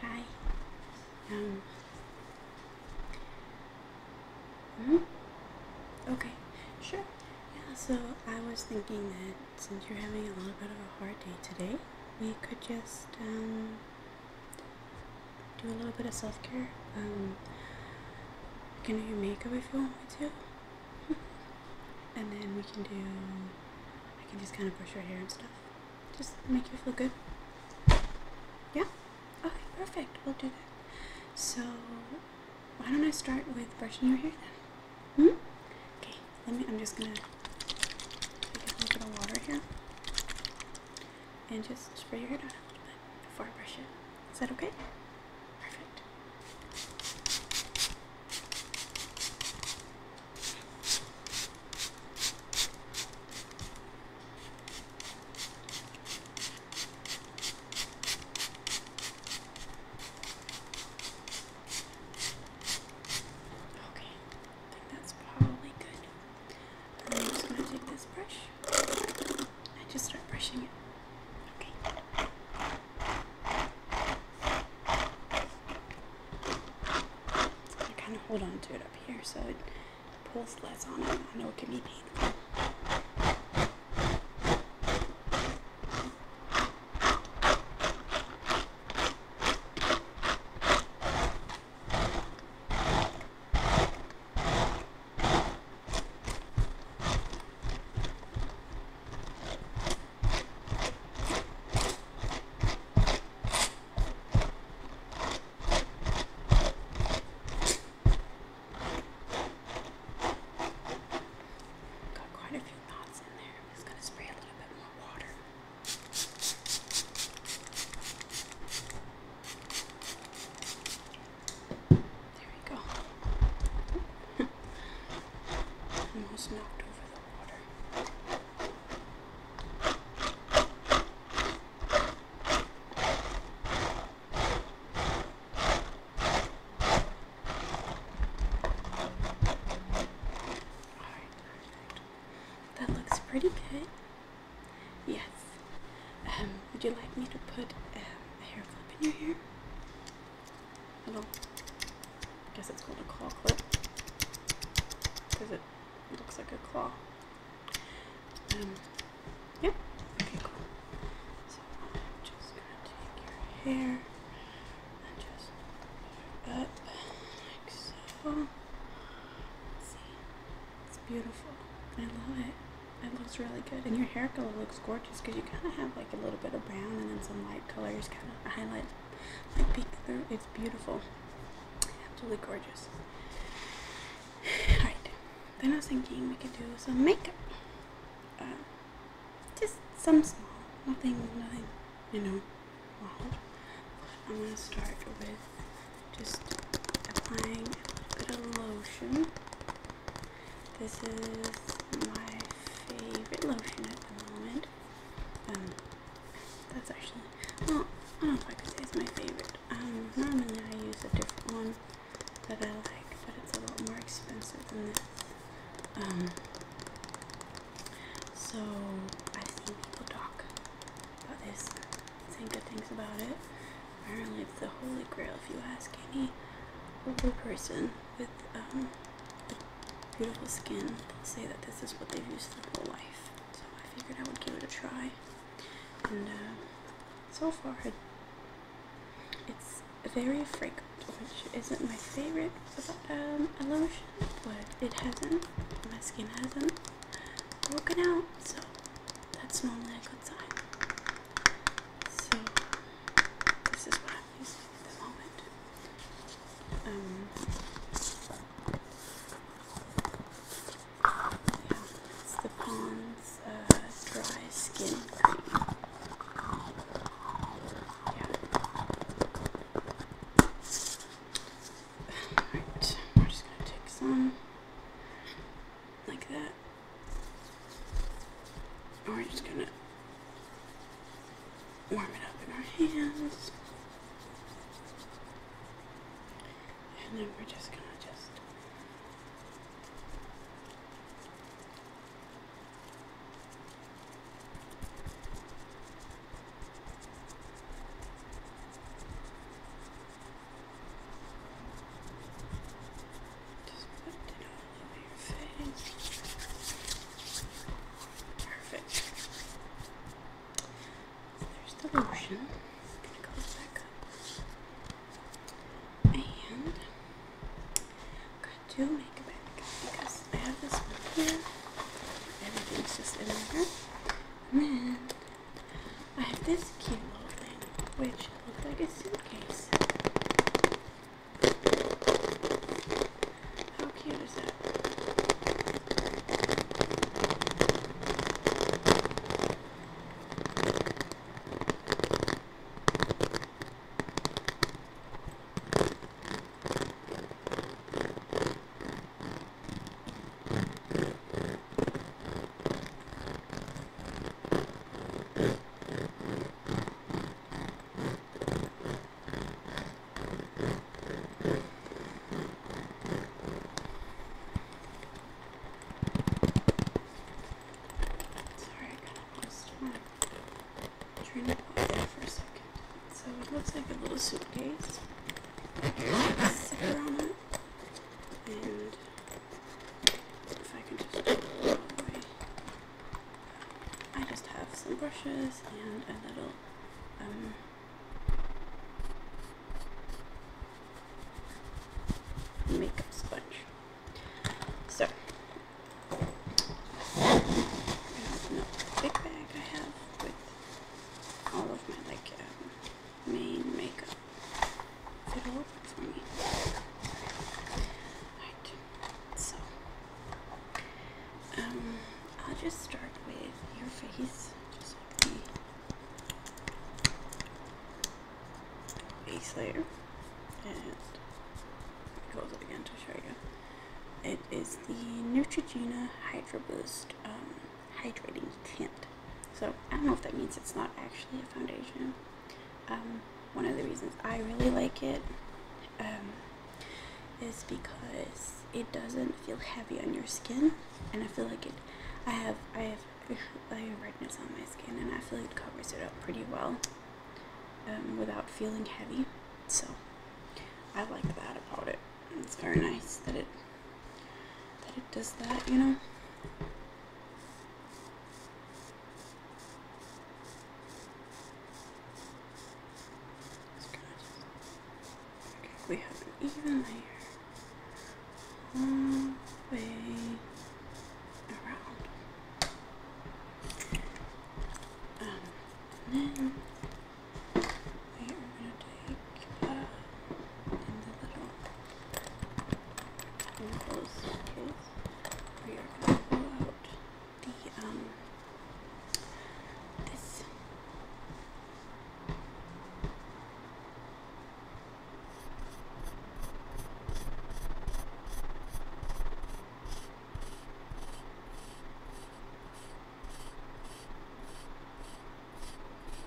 Hi. Um. Mm hmm? Okay. Sure. Yeah, so I was thinking that since you're having a little bit of a hard day today, we could just, um, do a little bit of self care. Um, can do your makeup if you want me to. and then we can do, I can just kind of brush your hair and stuff. Just make you feel good. Yeah? Okay, perfect. We'll do that. So, why don't I start with brushing your hair then? Hmm? Okay, let me, I'm just gonna take a little bit of water here and just spray your hair down a little bit before I brush it. Is that okay? Perfect. Okay, I think that's probably good. I'm just gonna take this brush and just start brushing it. Okay. I kind of hold on to it up here so it pulls less on it. I know it can be painful. Got quite a few knots in there. I'm just going to spray a little bit more water. There we go. Almost knocked over the Alright, that looks pretty good. Yes. Um, would you like me to put um, a hair clip in your hair? little, I guess it's called a claw clip because it looks like a claw. Um, okay, cool. So I'm just gonna take your hair and just up like so. See, it's beautiful. I love it. It looks really good, and your hair color looks gorgeous because you kind of have like a little bit of brown and then some light colors kind of highlight it's beautiful. Absolutely gorgeous. Alright. Then I was thinking we could do some makeup. Uh, just some small. Nothing, nothing, you know, I'm going to start with just applying a little bit of lotion. This is my favorite lotion at the moment. Um, that's actually, well, I don't know if I could say it's my favorite. Um, normally I use a different one that I like, but it's a lot more expensive than this. Um, so I've seen people talk about this, good things about it. Apparently it's the holy grail if you ask any older person with, um, with beautiful skin say that this is what they've used their whole life. So I figured I would give it a try. And uh, so far, it's very fragrant, which isn't my favorite um, lotion, but it hasn't, my skin hasn't broken out, so that's normally a good sign. So this is what the moment. yeah, the Pond's Dry Skin Cream. Yeah. Alright, we're just going to take some like that. we're just going to warm it up in our hands. And then we're just going to just just put it on. Perfect. there's the lotion. I'm gonna close back up. makeup because I have this one here. Everything's just in there. And then I have this cute little thing, which looks like a suitcase. How cute is that? Sorry, I kind of lost my train of thought for a second. So it looks like a little suitcase. Zipper on it. And if I can just. Away. I just have some brushes and a little um, makeup sponge. So, no big bag I have with all of my like um, main makeup. it for me. Right. So um, I'll just start with your face, just like the base layer, and close it again to show you. It is the Neutrogena Hydro Boost um, Hydrating Tint. So I don't know if that means it's not actually a foundation, um, one of the reasons I really like it um, is because it doesn't feel heavy on your skin, and I feel like it. I have I have I have redness on my skin, and I feel like it covers it up pretty well um, without feeling heavy. So I like that about it. It's very nice that it that it does that, you know we have an even layer all the way around. Um, and then we are gonna take the little and close we are going to pull out the, um, this.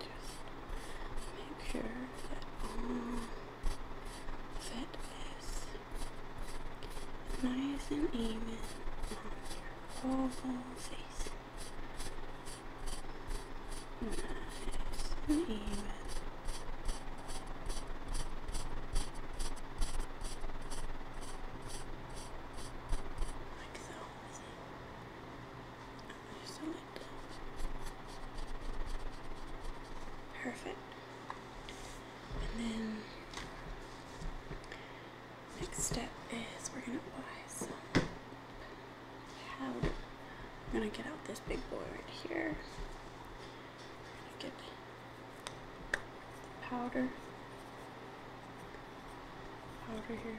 Just make sure that fitness, nice and even on your whole Nice and even. Like so. Just like that. Perfect. And then next step is we're gonna apply some powder. I'm gonna get out this big boy right here. get powder. Powder here.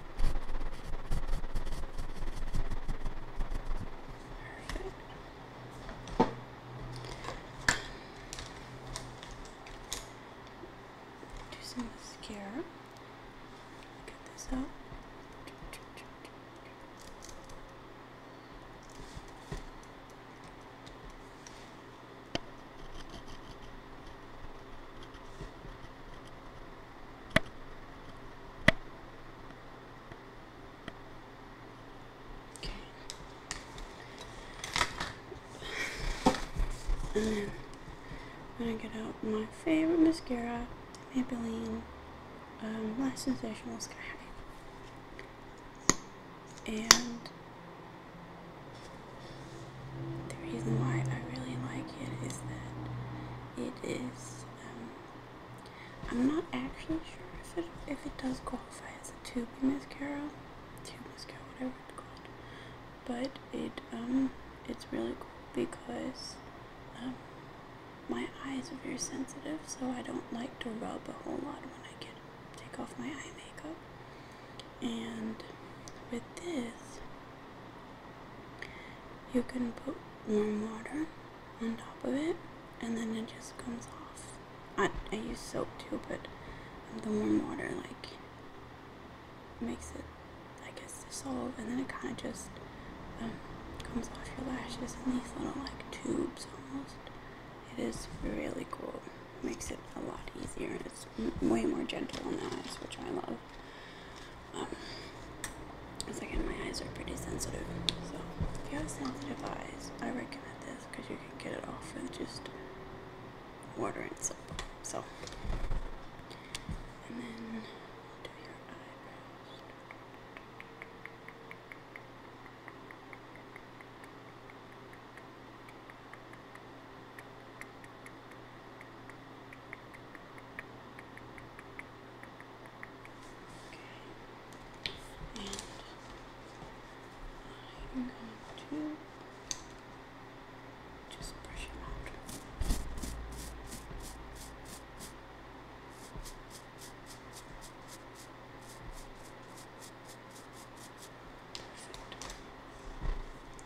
Do some mascara. Get this out. And then when I get out my favorite mascara, Maybelline um, Sensational Sky And the reason why I really like it is that it is I'm not actually sure if it if it does qualify as a tube mascara, tube mascara, whatever it's called. But it um it's really cool because um, my eyes are very sensitive, so I don't like to rub a whole lot when I get take off my eye makeup. And with this, you can put warm water on top of it and then it just comes off. I, I use soap too, but the warm water like makes it, I guess, dissolve and then it kind of just um, comes off your lashes in these little like tubes almost. It is really cool. Makes it a lot easier. and It's way more gentle on the eyes, which I love um, second, my eyes are pretty sensitive, so if you have sensitive eyes, I recommend this because you can get it off with just water and soap. So, and then do your eyebrows. Okay. And I'm going to just brush it out.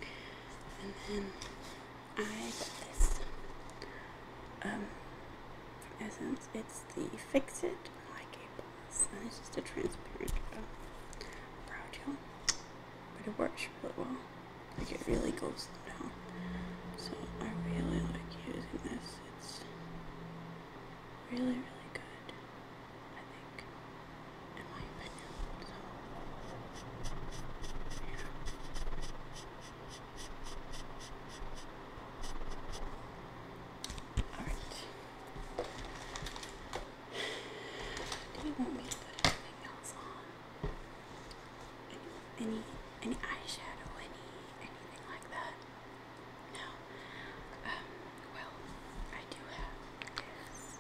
Perfect. And then I got this. Um, Essence, it's the Fix It Like a Plus, and it's just a transparent um, brow gel, but it works really well. Like it really goes down. So I really like using this. It's really, really good. I think, in my opinion. All right. Do you want me to put anything else on? Any, any, any eyeshadow, any, anything like that? No. Um, well, I do have this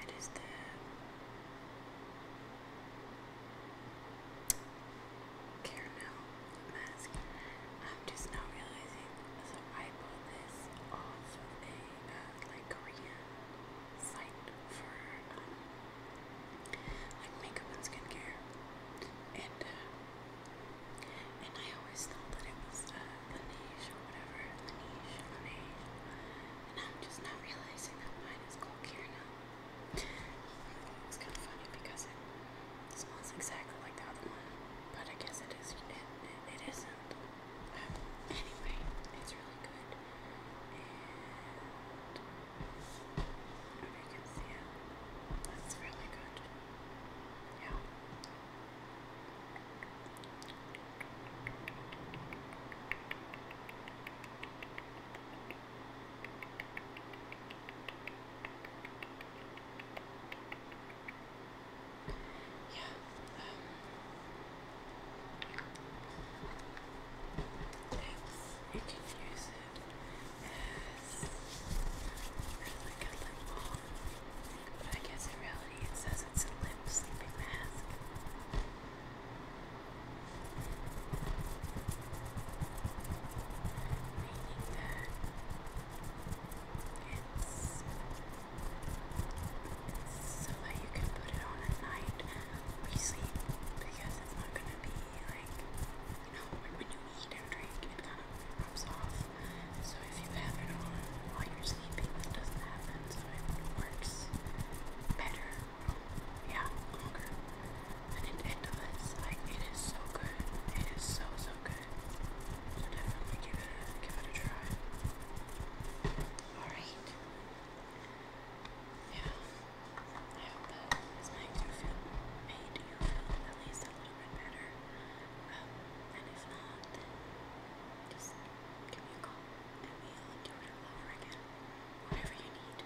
it is the Caramel mask. I'm just now realizing, so I bought this off a like Korean site for um, like makeup and skincare, and uh, and I always thought that it was uh, Laneige or whatever, Laneige, Laneige, and I'm just now realizing that mine is called Kirna. It's kind of funny because it smells exactly like the other one but I guess it is. It, it isn't. anyway, it's really good, and if you can see it, that's really good. Yeah. Yeah. Um, you can use it as, like a lip balm, but I guess in reality it says a lip sleeping mask. It's so that you can put it on at night when you sleep because it's not gonna be like you know like when you eat and drink it kind of rubs off. So if you have it on while you're sleeping, that doesn't happen. So it works better, yeah, longer. And it does. Like it is so good. It is so so okay. definitely give it give it a try. Alright. Yeah. I hope that this makes you feel made you feel at least a little bit better. and if not, just give me a call and we'll do it over again. Whatever you need.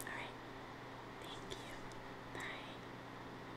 Alright. Thank you. Bye.